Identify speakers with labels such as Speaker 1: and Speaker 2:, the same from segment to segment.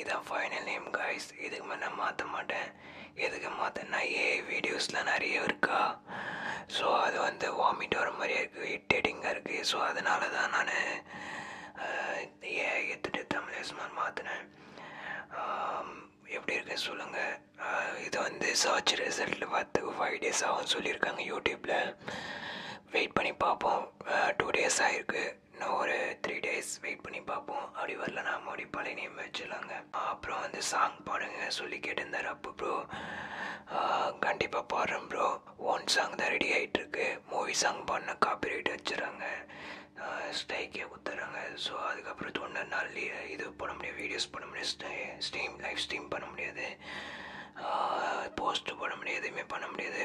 Speaker 1: இதான் final name guys இதுக்கு மேலே நான் மாற்ற மாட்டேன் எதுக்கு மாற்றேன்னா ஏ வீடியோஸ்லாம் நிறைய இருக்கா ஸோ அது வந்து வாமிட் வர மாதிரியே இருக்குது இட்டேட்டிங்காக இருக்குது ஸோ அதனால தான் நான் ஏ எடுத்துகிட்டு தமிழ் எஸ்மான் மாற்றினேன் எப்படி இருக்கு சொல்லுங்கள் இது வந்து சர்ச் ரிசல்ட்டில் பார்த்து ஃபைவ் டேஸ் ஆகும் சொல்லியிருக்காங்க யூடியூப்பில் வெயிட் பண்ணி பார்ப்போம் டூ டேஸ் ஆகிருக்கு இன்னும் ஒரு த்ரீ டேஸ் வெயிட் பண்ணி பார்ப்போம் அப்படி வரல நான் மோடி பழைய நேம் வச்சிடலாங்க அப்புறம் வந்து சாங் பாடுங்க சொல்லி கேட்டிருந்தார் அப்போ ப்ரோ கண்டிப்பாக பாடுறேன் ப்ரோ ஒன் சாங் தான் ரெடி ஆகிட்டுருக்கு மூவி சாங் பாடின காப்பிரைட் வச்சுறாங்க ஸ்டைக்கே கொடுத்துட்றாங்க ஸோ அதுக்கப்புறம் தொண்ணூறு நாள் இது பண்ண முடியாது வீடியோஸ் போட முடியாது ஸ்டீம் லைவ் ஸ்டீம் பண்ண முடியாது போஸ்ட்டு பண்ண முடியாது எதுவுமே பண்ண முடியாது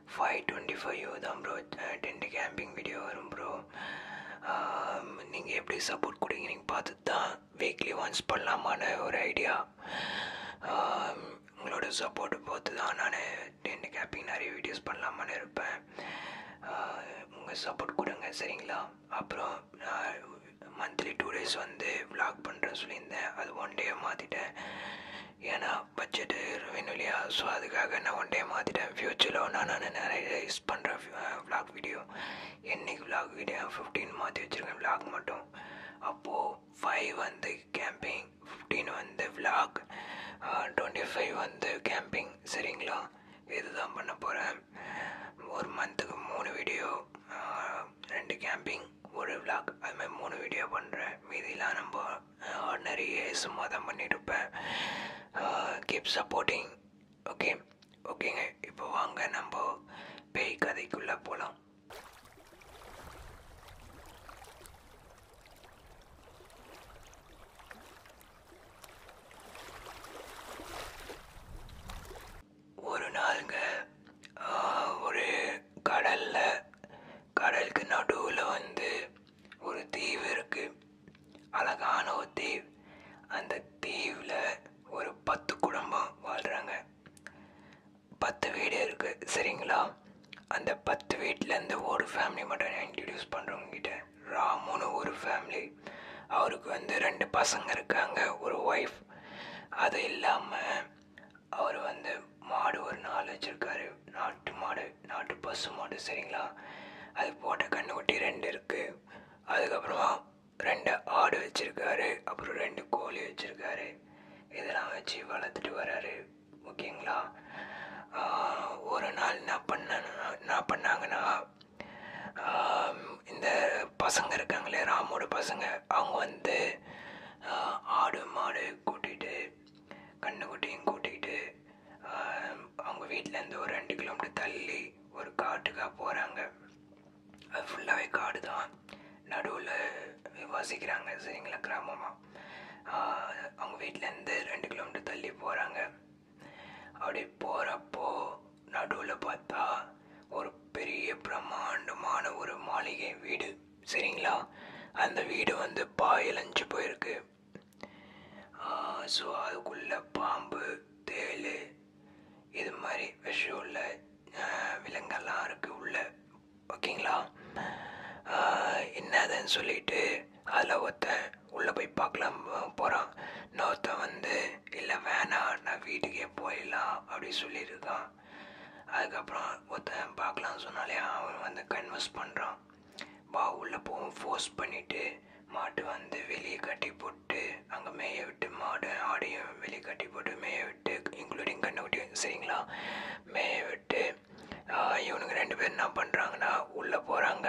Speaker 1: ஃபைவ் டுவெண்ட்டி ஃபைவ் தான் ப்ரோ டென்ட் கேம்பிங் வீடியோ வரும் ப்ரோ நீங்கள் எப்படி சப்போர்ட் கொடுங்க நீங்கள் பார்த்து தான் வீக்லி ஒன்ஸ் பண்ணலாமான ஒரு ஐடியா உங்களோட சப்போர்ட் பார்த்து தான் நான் டென்ட் கேம்பிங் நிறைய வீடியோஸ் பண்ணலாமான்னு இருப்பேன் உங்கள் சப்போர்ட் கொடுங்க சரிங்களா அப்புறம் நான் மந்த்லி டூ டேஸ் வந்து விளாக் பண்ணுறேன்னு சொல்லியிருந்தேன் அது ஒன் டே மாற்றிட்டேன் ஏன்னா பட்ஜெட்டு வேணும் இல்லையா ஸோ அதுக்காக நான் ஒன் டே மாற்றிட்டேன் ஃப்யூச்சரில் நான் நான் நிறைய யூஸ் பண்ணுற விளாக் வீடியோ என்றைக்கு விளாக் வீடியோ ஃபிஃப்டீன் மாற்றி வச்சுருக்கேன் விளாக் மட்டும் அப்போது ஃபைவ் வந்து கேம்பிங் ஃபிஃப்டீன் வந்து விளாக் டுவெண்ட்டி ஃபைவ் வந்து கேம்பிங் சரிங்களா இதுதான் பண்ண போகிறேன் ஒரு மந்த்துக்கு மூணு வீடியோ ரெண்டு கேம்பிங் ஒரு விளாக் அதுமாதிரி மூணு வீடியோ பண்ணுறேன் மீதிலாம் நம்ம நிறைய பண்ணிட்டு இருப்பேன் கீப் சப்போர்ட்டிங் ஓகே ஓகேங்க இப்போ வாங்க நம்ம பேய் கதைக்குள்ளே போகலாம் ஒரு நாளுங்க ஒரு கடலில் கடலுக்கு நடுவில் வந்து ஒரு தீவு இருக்குது அழகான ஒரு தீவு அந்த தீவில் ஒரு பத்து குடும்பம் வாழ்கிறாங்க பத்து வீடு இருக்குது சரிங்களா அந்த பத்து வீட்டிலேருந்து ஒரு ஃபேமிலி மட்டும் நான் இன்ட்ரடியூஸ் பண்ணுறவங்ககிட்ட ராமுன்னு ஒரு ஃபேமிலி அவருக்கு வந்து ரெண்டு பசங்க இருக்காங்க ஒரு ஒய்ஃப் அது இல்லாமல் அவர் வந்து மாடு ஒரு நாள் வச்சுருக்காரு நாட்டு மாடு நாட்டு பசு மாடு சரிங்களா அது போட்ட கண்ணுக்குட்டி ரெண்டு இருக்குது அதுக்கப்புறமா ரெண்டு ஆடு வச்சுருக்காரு அப்புறம் ரெண்டு கோழி வச்சுருக்காரு இதெல்லாம் வச்சு வளர்த்துட்டு வர்றாரு ஓகேங்களா ஒரு நாள் என்ன பண்ண நான் பண்ணாங்கன்னா இந்த பசங்க இருக்காங்களே ராமோட பசங்க அவங்க வந்து ஆடு மாடு கூட்டிகிட்டு குட்டியும் கூட்டிகிட்டு அவங்க வீட்டிலேருந்து ஒரு ரெண்டு கிலோமீட்டர் தள்ளி ஒரு காட்டுக்காக போகிறாங்க அது ஃபுல்லாகவே காடு தான் நடுவில் வசிக்கிறாங்க சரிங்களா கிராமமாக அவங்க வீட்டிலேருந்து ரெண்டு கிலோமீட்டர் தள்ளி போகிறாங்க அப்படி போகிறப்போ நடுவில் பார்த்தா ஒரு பெரிய பிரம்மாண்டமான ஒரு மாளிகை வீடு சரிங்களா அந்த வீடு வந்து பாயிலஞ்சு போயிருக்கு ஸோ அதுக்குள்ளே பாம்பு தேல் இது மாதிரி விஷயம் உள்ள விலங்கெல்லாம் இருக்குது உள்ள ஓகேங்களா என்னதுன்னு சொல்லிட்டு அதில் ஒருத்தன் உள்ளே போய் பார்க்கலாம் போகிறான் இன்னொருத்தன் வந்து இல்லை வேணாம் நான் வீட்டுக்கே போயிடலாம் அப்படின்னு சொல்லியிருக்கான் பண்ணுறான் அதுக்கப்புறம் ஒருத்தன் பார்க்கலாம் சொன்னாலே அவன் வந்து கன்வெர்ஸ் பண்ணுறான் பா உள்ளே போவோம் ஃபோர்ஸ் பண்ணிவிட்டு மாட்டு வந்து வெளியே கட்டி போட்டு அங்கே மேய விட்டு மாடு ஆடையும் வெளியே கட்டி போட்டு மேய விட்டு இன்க்ளூடிங் கண்ணை கண்ணுக்குட்டி சரிங்களா மேய விட்டு இவனுக்கு ரெண்டு பேர் என்ன பண்ணுறாங்கன்னா உள்ளே போகிறாங்க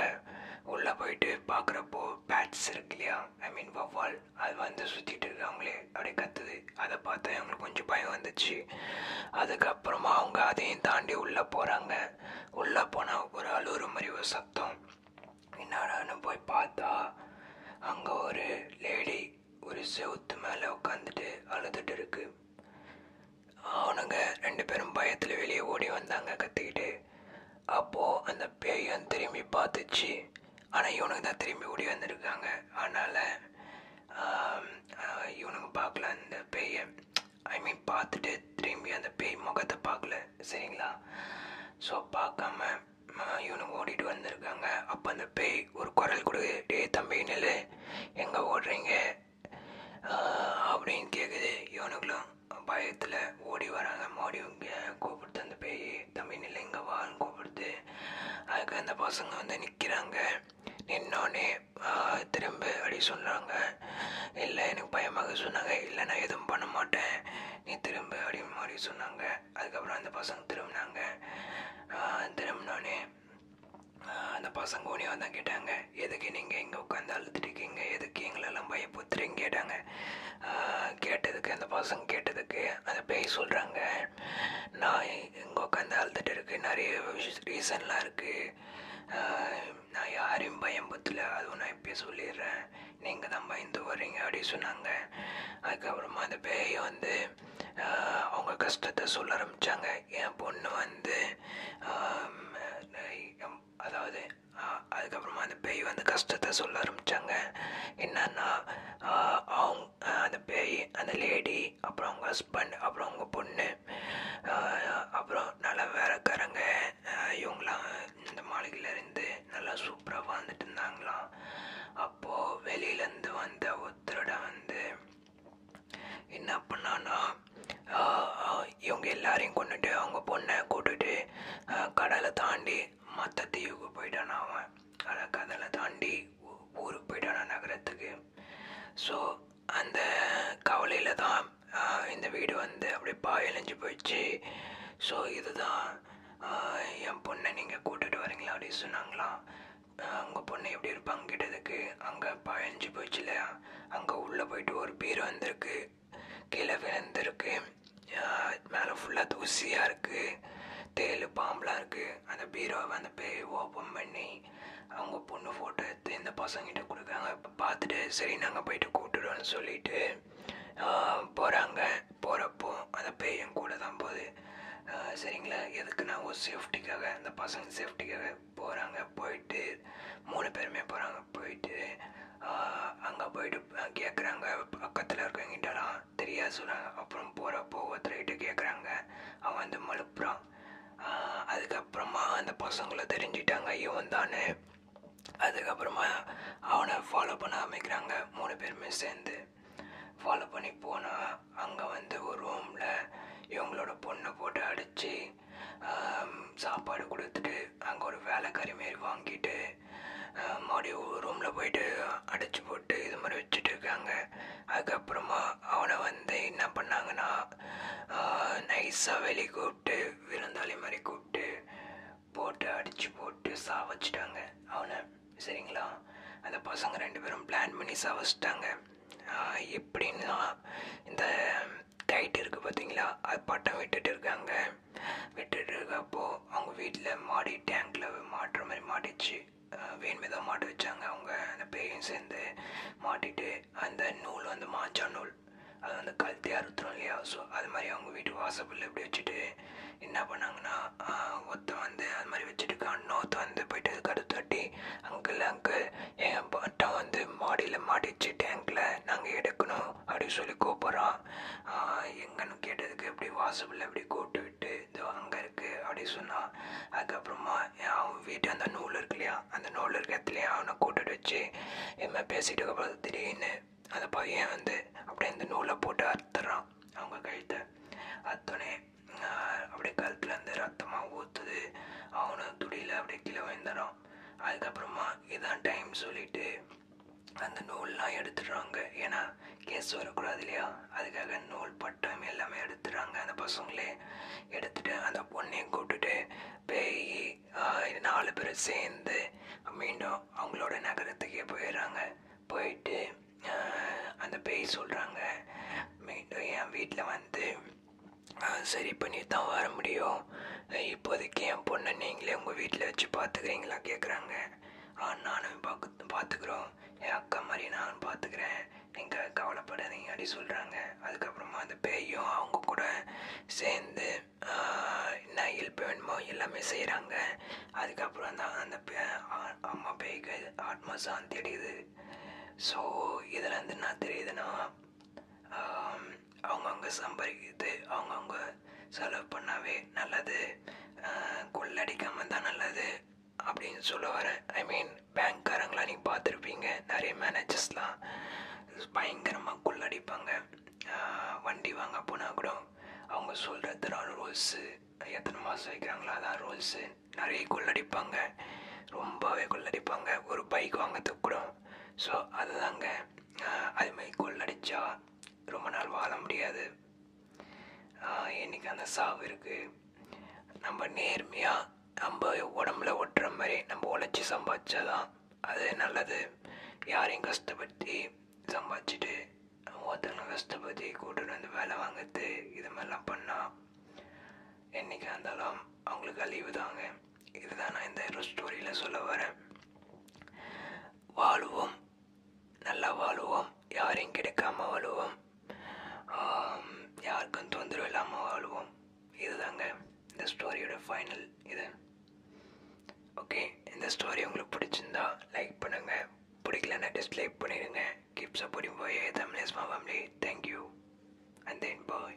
Speaker 1: உள்ளே போயிட்டு பார்க்குறப்போ பேட்ஸ் இருக்கு இல்லையா ஐ மீன் வவ்வால் அது வந்து சுற்றிட்டு இருக்காங்களே அப்படியே கத்துது அதை பார்த்தா எங்களுக்கு கொஞ்சம் பயம் வந்துச்சு அதுக்கப்புறமா அவங்க அதையும் தாண்டி உள்ளே போகிறாங்க உள்ளே போனால் ஒரு அழுவுற மாதிரி ஒரு சத்தம் என்னடான்னு போய் பார்த்தா அங்கே ஒரு லேடி ஒரு செவுத்து மேலே உட்காந்துட்டு அழுதுட்டு இருக்கு அவனுங்க ரெண்டு பேரும் பயத்தில் வெளியே ஓடி வந்தாங்க கற்றுக்கிட்டு அப்போது அந்த பேயும் திரும்பி பார்த்துச்சு ஆனால் இவனுக்கு தான் திரும்பி ஓடி வந்திருக்காங்க அதனால் இவனுக்கு பார்க்கல அந்த பேயை ஐ மீன் பார்த்துட்டு திரும்பி அந்த பேய் முகத்தை பார்க்கல சரிங்களா ஸோ பார்க்காம இவனுக்கு ஓடிட்டு வந்திருக்காங்க அப்போ அந்த பேய் ஒரு குரல் கொடுக்குது டே தம்பி நெல் எங்கே ஓடுறீங்க அப்படின்னு கேட்குது இவனுக்குலாம் பயத்தில் ஓடி வராங்க மோடி கூப்பிட்டு அந்த பேய் தம்பி நிலைங்க வான்னு கூப்பிடுது அதுக்கு அந்த பசங்க வந்து நிற்கிறாங்க நின்னோடனே திரும்ப அப்படி சொல்கிறாங்க இல்லை எனக்கு பயமாக சொன்னாங்க இல்லை நான் எதுவும் பண்ண மாட்டேன் நீ திரும்ப அப்படின்னு மாதிரி சொன்னாங்க அதுக்கப்புறம் அந்த பசங்க திரும்பினாங்க திரும்பினோடனே அந்த பசங்க உனியாக தான் கேட்டாங்க எதுக்கு நீங்கள் இங்கே உட்காந்து அழுதுட்டு இருக்கீங்க எதுக்கு எங்களெல்லாம் பயப்புத்துறீங்க கேட்டாங்க கேட்டதுக்கு அந்த பசங்க கேட்டதுக்கு அந்த பேய் சொல்கிறாங்க நான் இங்கே உட்காந்து அழுதுட்டு இருக்கு நிறைய ரீசன்லாம் இருக்குது நான் யாரையும் பயம் பயம்பத்தில் அதுவும் நான் இப்போ சொல்லிடுறேன் நீங்கள் தான் பயந்து வரீங்க அப்படின்னு சொன்னாங்க அதுக்கப்புறமா அந்த பேயை வந்து அவங்க கஷ்டத்தை சொல்ல ஆரம்பித்தாங்க என் பொண்ணு வந்து அதாவது அதுக்கப்புறமா அந்த பேய் வந்து கஷ்டத்தை சொல்ல ஆரம்பித்தாங்க என்னன்னா அவங்க அந்த பேய் அந்த லேடி அப்புறம் அவங்க ஹஸ்பண்ட் அப்புறம் அவங்க பொண்ணு அப்புறம் நல்லா வேறக்காரங்க இவங்களாம் இந்த மாளிகையிலேருந்து நல்லா சூப்பராக வாழ்ந்துட்டு இருந்தாங்களாம் அப்போது வெளியிலேருந்து வந்த ஒருத்தரோட வந்து என்ன பண்ணான்னா இவங்க எல்லாரையும் கொண்டுட்டு அவங்க பொண்ணை கூட்டுட்டு கடலை தாண்டி மற்ற தீவுக்கு போயிட்டான அவன் அதை கடலை தாண்டி ஊருக்கு போயிட்டான நகரத்துக்கு ஸோ அந்த கவலையில் தான் இந்த வீடு வந்து அப்படியே பாயலைஞ்சு போயிடுச்சு ஸோ இதுதான் என் பொண்ணை நீங்கள் கூட்டிகிட்டு வரீங்களா அப்படின்னு சொன்னாங்களாம் உங்கள் பொண்ணை எப்படி இருப்பாங்க கேட்டதுக்கு அங்கே பயஞ்சு போச்சு இல்லையா அங்கே உள்ளே போயிட்டு ஒரு பேர் வந்திருக்கு கீழே விழுந்திருக்கு மேலே ஃபுல்லாக தூசியாக இருக்குது தேல் பாம்பெலாம் இருக்குது அந்த பீரோவை அந்த பேய் ஓப்பன் பண்ணி அவங்க பொண்ணு ஃபோட்டோ எடுத்து இந்த பசங்கிட்ட கொடுக்குறாங்க இப்போ பார்த்துட்டு சரி நாங்கள் போயிட்டு கூட்டுடுவோம்னு சொல்லிவிட்டு போகிறாங்க போகிறப்போ அந்த பேய் என் கூட தான் போகுது சரிங்களா எதுக்குன்னா ஒரு சேஃப்டிக்காக அந்த பசங்க சேஃப்டிக்காக போகிறாங்க போயிட்டு போயிட்டு மூணு பேருமே போகிறாங்க போயிட்டு அங்கே போயிட்டு கேட்குறாங்க பக்கத்தில் இருக்கவங்கிட்டலாம் தெரியாது சொல்கிறாங்க அப்புறம் போகிற போகிறப்போ ஒருத்தர்கிட்ட கேட்குறாங்க அவன் வந்து மழுப்புறான் அதுக்கப்புறமா அந்த பசங்களை தெரிஞ்சுட்டாங்க இவன் தானே அதுக்கப்புறமா அவனை ஃபாலோ பண்ண ஆரம்பிக்கிறாங்க மூணு பேருமே சேர்ந்து ஃபாலோ பண்ணி போனால் அங்கே வந்து ஒரு ரூமில் இவங்களோட பொண்ணை போட்டு அடித்து சாப்பாடு கொடுத்துட்டு அங்கே ஒரு வேலைக்காரி மாரி வாங்கிட்டு மறுபடியும் ரூமில் போயிட்டு அடைச்சி போட்டு இது மாதிரி வச்சுட்டு இருக்காங்க அதுக்கப்புறமா அவனை வந்து என்ன பண்ணாங்கன்னா நைஸாக வெளியே கூப்பிட்டு விருந்தாளி மாதிரி கூப்பிட்டு போட்டு அடித்து போட்டு சாவச்சிட்டாங்க அவனை சரிங்களா அந்த பசங்க ரெண்டு பேரும் பிளான் பண்ணி சாவச்சிட்டாங்க எப்படின்னா இந்த டைட் இருக்குது பார்த்தீங்களா அது பட்டம் விட்டுட்டு இருக்காங்க விட்டுட்டு இருக்கப்போ அவங்க வீட்டில் மாடி டேங்கில் மாட்டுற மாதிரி மாட்டிச்சு வேணுமே தான் மாட்டு வச்சாங்க அவங்க அந்த பேரையும் சேர்ந்து மாட்டிட்டு அந்த நூல் வந்து மாஞ்சா நூல் அது வந்து கழுத்தி அறுத்துறோம் இல்லையா ஸோ அது மாதிரி அவங்க வீட்டு வாசப்பில் இப்படி வச்சுட்டு என்ன பண்ணாங்கன்னா ஒருத்தன் வந்து அது மாதிரி வச்சுட்டு இன்னொருத்த வந்து போய்ட்டு கடுத்தாட்டி தட்டி அங்கிள் அங்கிள் என் பாட்டா வந்து மாடியில் மாடிச்சு டேங்கில் நாங்கள் எடுக்கணும் அப்படி சொல்லி கூப்பிட்றான் எங்கன்னு கேட்டதுக்கு இப்படி வாசப்பில் இப்படி கூட்டு விட்டு இது அங்கே இருக்குது அப்படி சொன்னான் அதுக்கப்புறமா அவன் வீட்டு அந்த நூல் இருக்கு இல்லையா அந்த நூல் இருக்க இடத்துலையும் அவனை கூட்டுட்டு வச்சு இவன் பேசிட்டு அப்புறம் திடீர்னு அந்த பையன் வந்து அப்படியே அந்த நூலை போட்டு அறுத்துறான் அவங்க கழுத்தை அத்தோடனே அப்படியே கழுத்துல இருந்து ரத்தமாக ஊற்றுது அவனை துடியில் அப்படியே கீழே விழுந்துடும் அதுக்கப்புறமா இதான் டைம் சொல்லிட்டு அந்த நூல்லாம் எடுத்துடுறாங்க ஏன்னா கேஸ் வரக்கூடாது இல்லையா அதுக்காக நூல் பட்டம் எல்லாமே எடுத்துடுறாங்க அந்த பசங்களே எடுத்துட்டு அந்த பொண்ணையும் கூப்பிட்டுட்டு பேய் நாலு பேரும் சேர்ந்து மீண்டும் அவங்களோட நகரத்துக்கே போயிடுறாங்க போயிட்டு அந்த பேய் சொல்கிறாங்க மீண்டும் என் வீட்டில் வந்து சரி பண்ணி தான் வர முடியும் இப்போதைக்கு என் பொண்ணை நீங்களே உங்கள் வீட்டில் வச்சு பார்த்துக்கிறீங்களா கேட்குறாங்க நானும் பார்க்க பார்த்துக்குறோம் என் அக்கா மாதிரி நானும் பார்த்துக்கிறேன் நீங்கள் கவலைப்படாதீங்க அப்படி சொல்கிறாங்க அதுக்கப்புறமா அந்த பேயும் அவங்க கூட சேர்ந்து என்ன ஹெல்ப் வேணுமோ எல்லாமே செய்கிறாங்க அதுக்கப்புறம் தான் அந்த அம்மா பேய்க்கு ஆத்மா சாந்தி அடையுது இருக்குது ஸோ இதிலேருந்து என்ன தெரியுதுன்னா அவங்கவுங்க சம்பாதிக்கிறது அவங்கவுங்க செலவு பண்ணாவே நல்லது கொள்ளடிக்காமல் தான் நல்லது அப்படின்னு சொல்ல வரேன் ஐ மீன் பேங்க்காரங்களாம் நீங்கள் பார்த்துருப்பீங்க நிறைய மேனேஜர்ஸ்லாம் பயங்கரமாக கொள்ளடிப்பாங்க வண்டி வாங்க போனால் கூட அவங்க சொல்கிறது ரூல்ஸு எத்தனை மாதம் வைக்கிறாங்களோ அதான் ரூல்ஸு நிறைய கொள்ளடிப்பாங்க ரொம்பவே கொள்ளடிப்பாங்க ஒரு பைக் வாங்கிறதுக்கு கூட ஸோ அதுதாங்க அது அதுமாதிரி கொள்ளடிச்சா ரொம்ப நாள் வாழ முடியாது இன்றைக்கி அந்த சாவு இருக்குது நம்ம நேர்மையாக நம்ம உடம்புல ஒட்டுற மாதிரி நம்ம உழைச்சி சம்பாதிச்சாதான் அது நல்லது யாரையும் கஷ்டப்படுத்தி சம்பாதிச்சுட்டு ஒருத்தவங்க கஷ்டப்படுத்தி கூட்டிட்டு வந்து வேலை வாங்குறது இது மாதிரிலாம் பண்ணால் என்றைக்கு இருந்தாலும் அவங்களுக்கு அழிவு தாங்க இதுதான் நான் இந்த ஒரு ஸ்டோரியில் சொல்ல வரேன் வாழுவோம் நல்லா வாழுவோம் யாரையும் கிடைக்காம வாழுவோம் யாருக்கும் தொந்தரவு இல்லாமல் வாழுவோம் இதுதாங்க இந்த ஸ்டோரியோட ஃபைனல் இது ஓகே இந்த ஸ்டோரி உங்களுக்கு பிடிச்சிருந்தா லைக் பண்ணுங்கள் பிடிக்கலன்னா டிஸ்லைக் பண்ணிடுங்க Keep supporting YA Thumbnails my family. Thank you. And then bye.